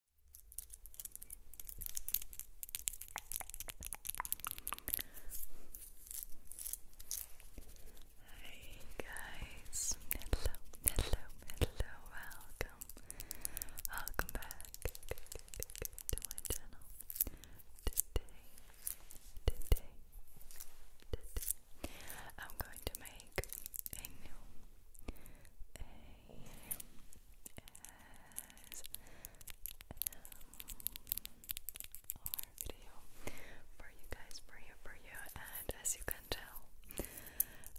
Hi guys, hello, hello, hello, welcome, welcome back to my channel. Today, today, today, I'm going to make a new our video for you guys, for you, for you, and as you can tell,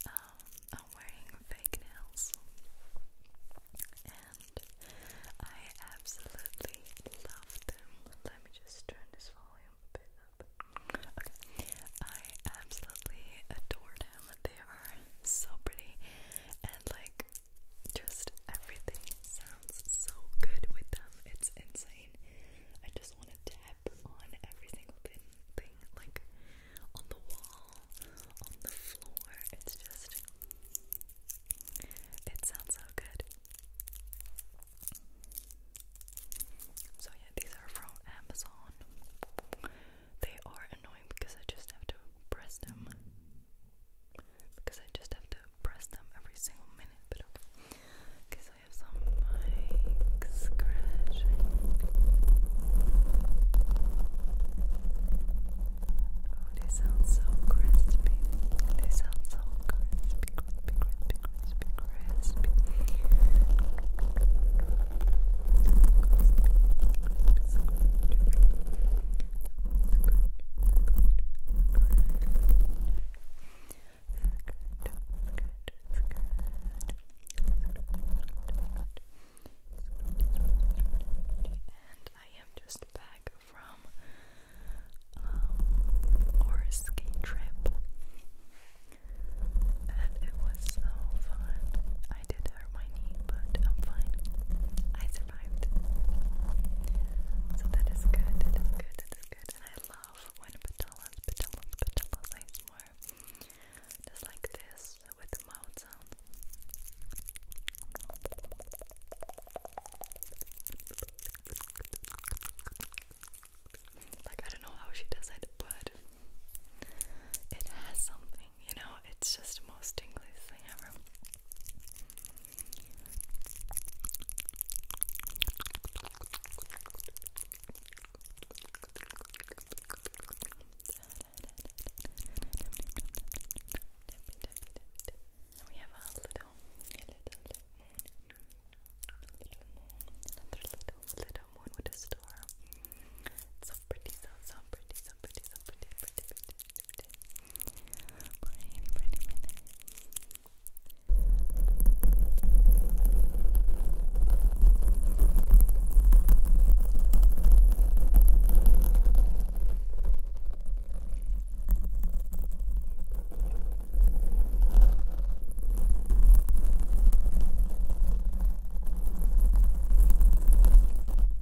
um, I'm wearing fake nails, and I absolutely love them. Let me just turn this volume up. I absolutely adore them. They are so pretty and like just everything sounds so good with them. It's insane. I just want to tap on every single thing, thing like on the wall, on the floor. It's just it sounds so good. So yeah, these are from Amazon. They are annoying because I just have to press them. Because I just have to press them every single minute, but okay. Because I have some mic Oh, they sound so crispy. They sound so crispy, crispy, crispy, crispy, crispy. And I am just back from um, our trip, and it was so fun. I did hurt my knee, but I'm fine. I survived. So that is good, that is good, that is good. And I love when patellas, patellas, patellas, I swear. Just like this, with mouth sound. Like, I don't know how she does it, but it has something, you know, it's just the most tingliest thing ever. we have a little, little little another little, little moon with a door. It's so pretty, so so pretty, so pretty, so pretty, pretty, pretty, pretty. pretty, pretty, pretty. Thank you,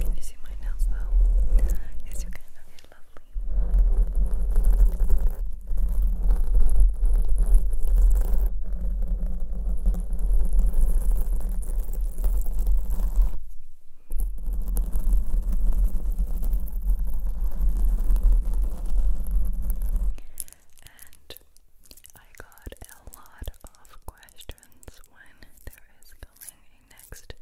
Can you see my nails though? Yes, you can. Okay, lovely. And I got a lot of questions when there is coming next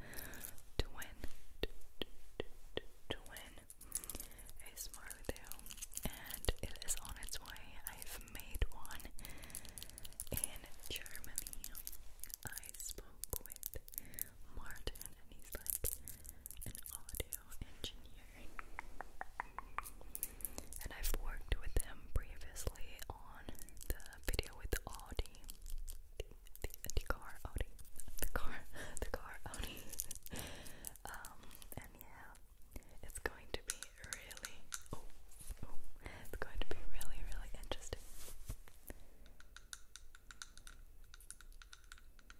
twin, twin, a Smartdale, and it is on its way. I've made one in Germany. I spoke with Martin, and he's like audio engineer, and I've worked with him previously on the video with Audi, the, the, the car Audi, the car, the car Audi. um, and yeah, it's going to be really, oh, oh, it's going to be really, really interesting.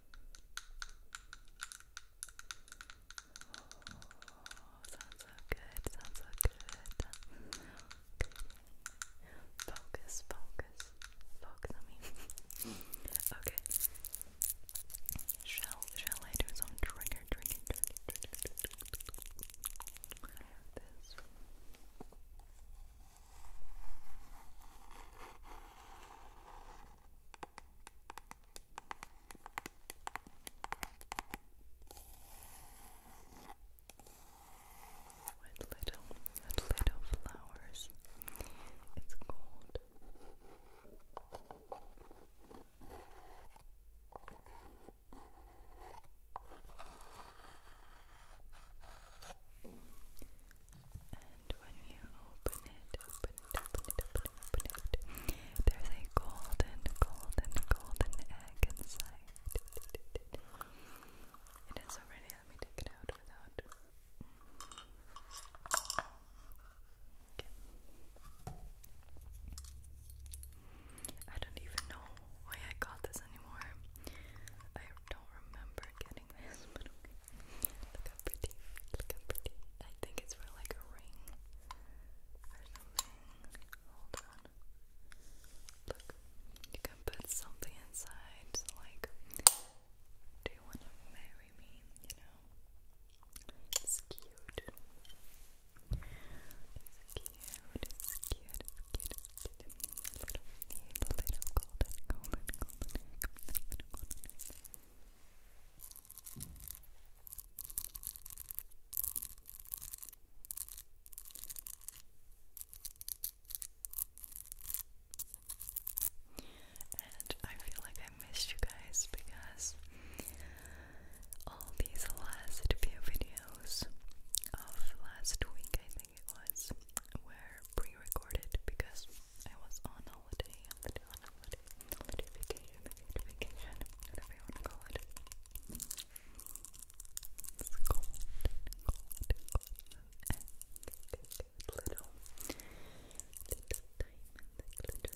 Oh, sounds so good, sounds so good. Focus, focus, focus on me. okay. Shall shall I do some trigger, trigger, with little, little flowers. It's gold. And when you open it, open it, open it, open it, open it, there's a golden, golden, golden egg inside. It is already, let me take it out without. Okay. I don't even know why I got this anymore. I don't remember getting recording Look how pretty. Look how pretty. I think it's for like a ring or something. Hold on. Look. You can put something inside, like, do you want to marry me? You know? It's cute. It's cute, it's cute, it's cute, it's cute. Little, little golden, golden, golden, golden, golden, golden. And I feel like I missed you guys because all these last few videos of last week, I think it was, were pre recorded because I was on holiday, holiday, on holiday, vacation, vacation, vacation, whatever you want to call it. cold, cold, cold, and little, little diamond, glitter, glitter, glitters.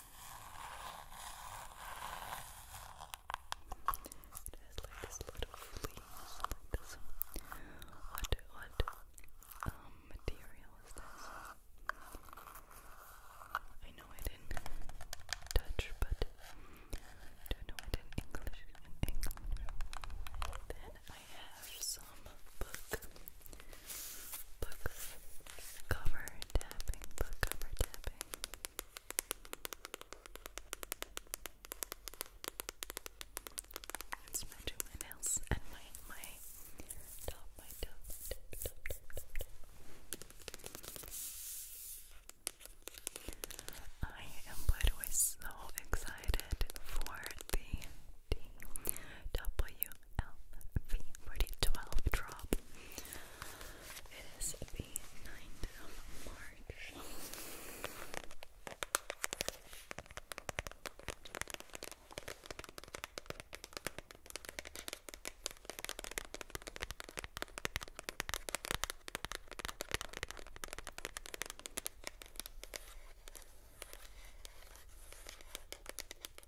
It has like this little fleece, What, what material is this? I know it in Dutch, but I don't know it In English. Then I have some book book cover tapping, book cover tapping. I'm smudging my nails and my my top, my top, I am, by so excited for the. DW ULV4012 drop. It is the 9th of March.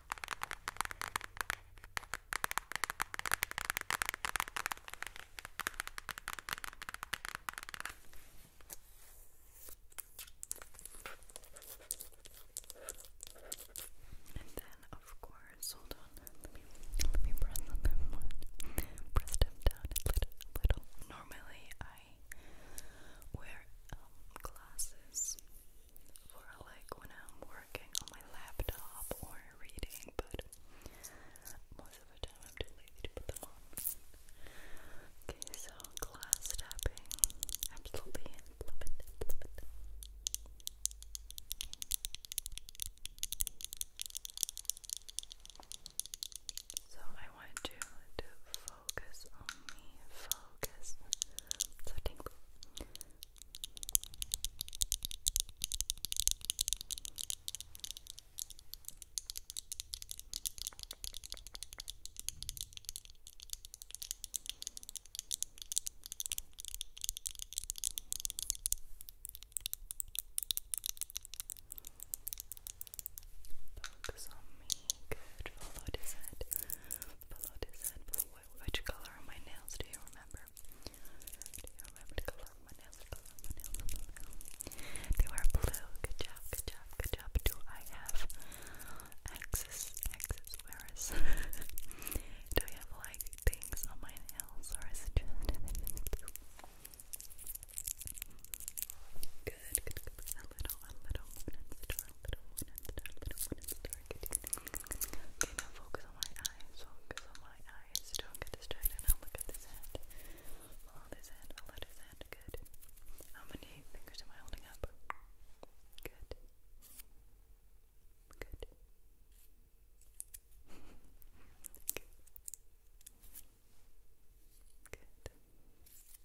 And then, of course, hold on. Let me press them Press them down a little. Normally, I wear um, glasses for like when I'm working on my laptop or reading, but most of the time I'm too lazy to put them on. Okay, so glass tapping, absolutely love it, love it. So I want you to focus on me, focus, so you. Focus on me. Good. Follow this head. Below which color are my nails? Do you remember? Do you remember color my nails? Color my nails, They were blue. Good job, good job, good job. Do I have axis, axis, where is Do I have like things on my nails or is it Good, good, little, a Okay, now focus on my eyes, focus on my eyes. Don't get Now look at this hand. Hold this hand, hold this hand. Good. How many fingers am I holding up? Good. Good. Good.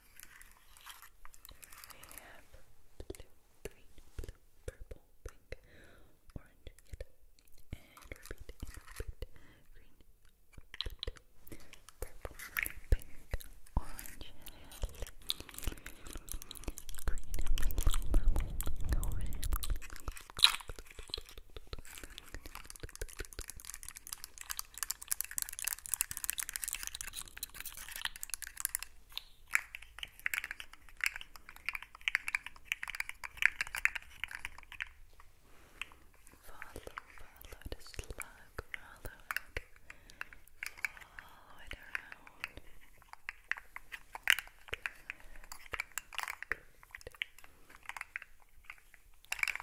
I have blue, green, blue, purple, pink, orange, yellow, and repeat, repeat, green, repeat, purple, pink, orange, yellow, green, purple, orange. Follow, follow the slug, follow it, follow it around. Good, good, good.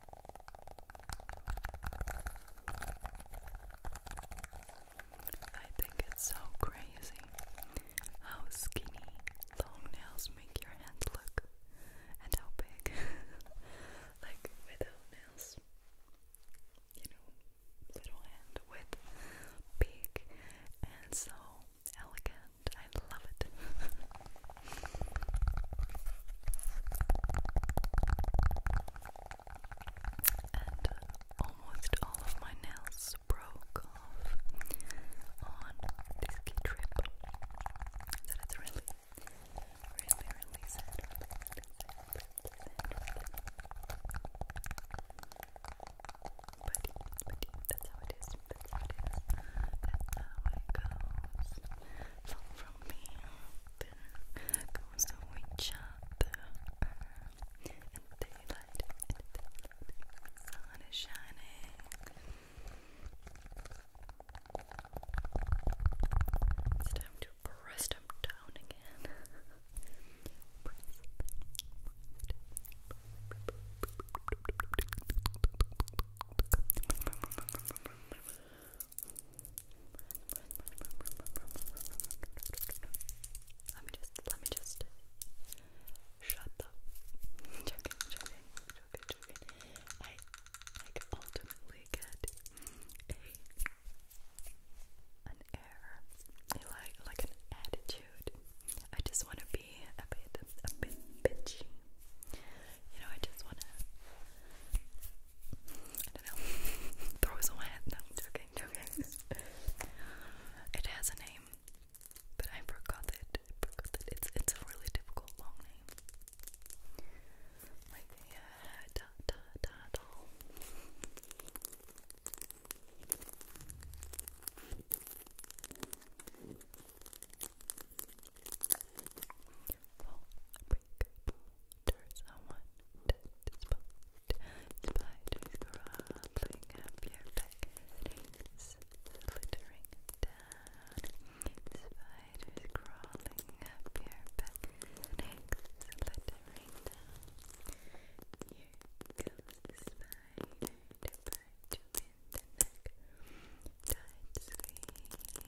I think it's so crazy how skinny long nails make your hand look and how big like without nails you know little hand with big and so elegant I love it and uh, almost all of my nails broke off on this trip. that's really, really, really sad. But, that's how it is. That's how it goes. Fall from me goes to each other daylight, in the sun is shining it's time to press them down again let me just, let me just shut up. Joking, I like ultimately get a an error, like like an attitude. I just want to be a bit, a bit bitchy you know, I just wanna, I don't know, throw some hand. No, joking, joking. it has a name, but I forgot it. forgot it. It's it's a really difficult long name. Like the da da da Fall, break, there's someone that is Spiders crawling up your back Things flittering down Spiders crawling up your back Things flittering down Here comes the spider to bite you in the neck Tight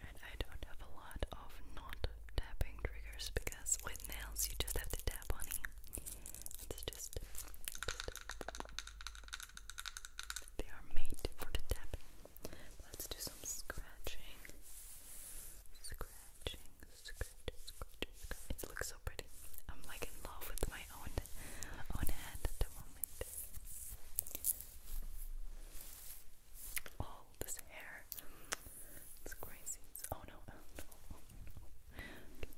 I don't have a lot of not tapping triggers because with nails you just have to tap on it. It's just, they are made for the tapping. Let's do some scratching. Scratching, scratch, scratch, It looks so pretty. I'm like in love with my own own hand at the moment all this hair. It's crazy. oh no, oh no, oh no. Okay.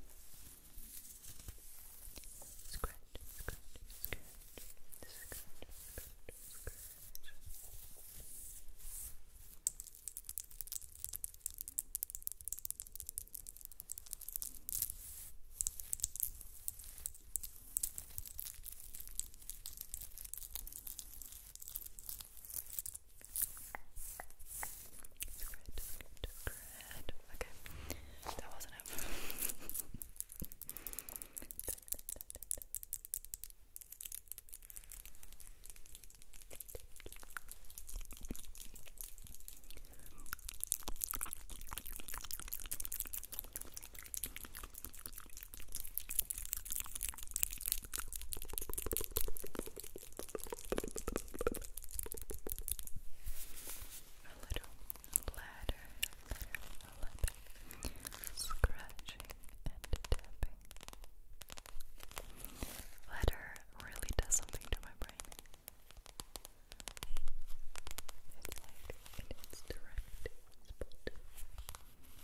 Scratch, Great, great, great. Okay, that wasn't it. A little ladder, a little scratching and tapping. Ladder really does something to my brain. It's like its direct spot.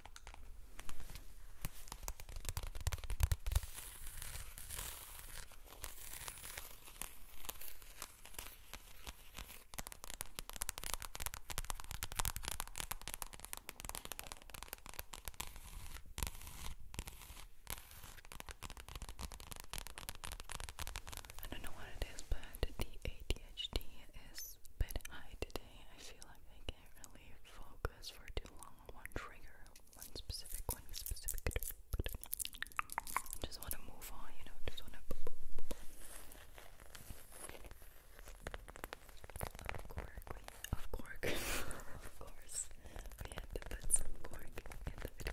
I don't know what it is, but the ADHD is a bit high today. I feel like I can really focus for too long on one trigger, one specific, one specific. just want to move on, you know, just want to. Of course, of course, of course, we had to put some cork in the video.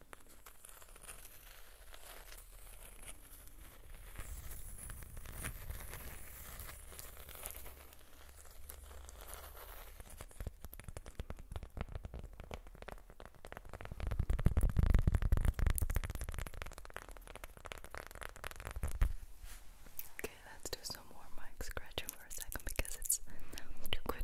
Okay, let's do some more mic scratching for a second because it's too good.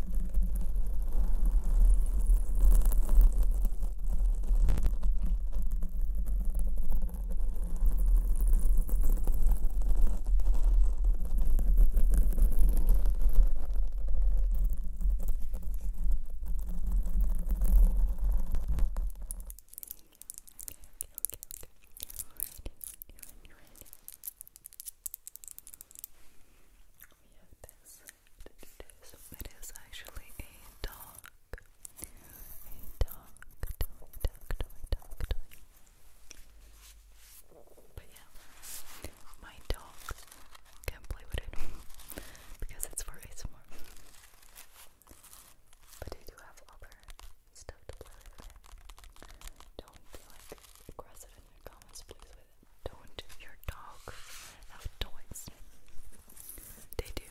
We have this it is actually a dog. A dog, toy, dog, toy, dog, toy. But yeah, my dog can't play with it because it's for ASMR. But I do have other stuff to play with it. Don't be like aggressive in your comments, please, with it. Don't your dogs have toys? They do.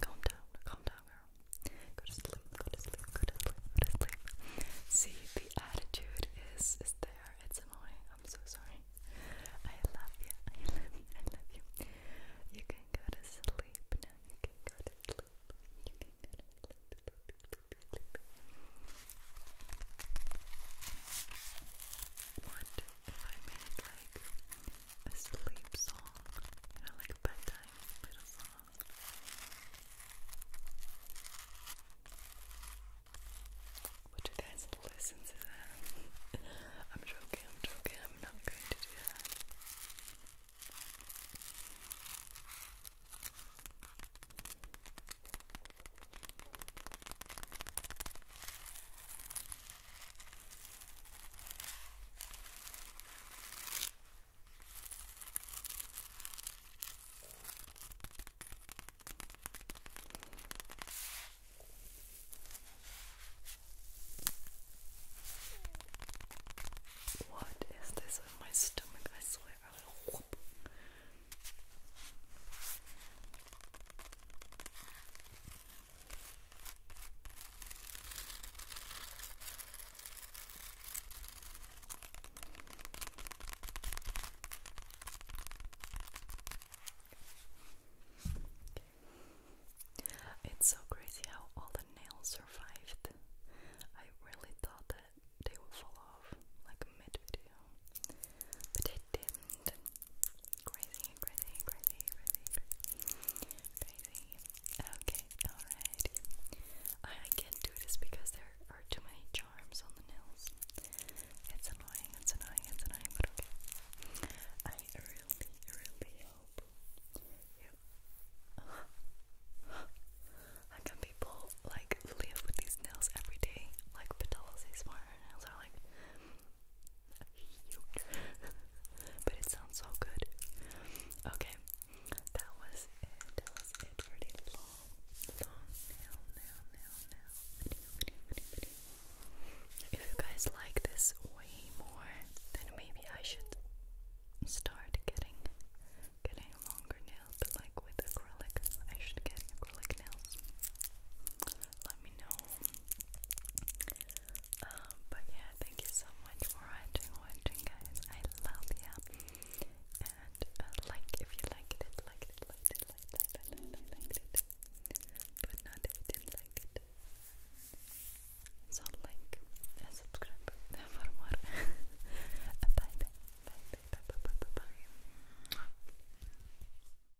Calm down, calm down, girl. Go to sleep, go to sleep, go to sleep, go to sleep. See, the attitude is is there. It's annoying. I'm so sorry. I love you. I love you. you. can go to sleep now. You can go to sleep. You can if I made like a sleep song, you know, like a bedtime little song. Would you guys listen to that? I'm joking, I'm joking, I'm not going to do that. What is this in my stomach? I swear I will whoop. It's so crazy how all the nails survived. I really thought that they would fall off like mid video, but they didn't crazy, crazy, crazy, crazy, crazy. Okay, alright. I, can't do this because there are too many charms on the nails. It's annoying, it's annoying, it's annoying, but okay. I really, really hope How can people like live with these nails every day? Like Patala's these nails are like but it sounds so good. Okay, that was it. That was it for the long, long If you guys like this way more, then maybe I should start getting getting longer nails, like with acrylic. I should get acrylic nails let me know. Um, but yeah, thank you so much for watching, watching guys. I love you. And uh, like if you liked it, liked it, liked it, liked it, liked it, liked it, liked it. But not if you didn't like it. So like and subscribe for more. bye bye. Bye bye bye bye bye bye. bye.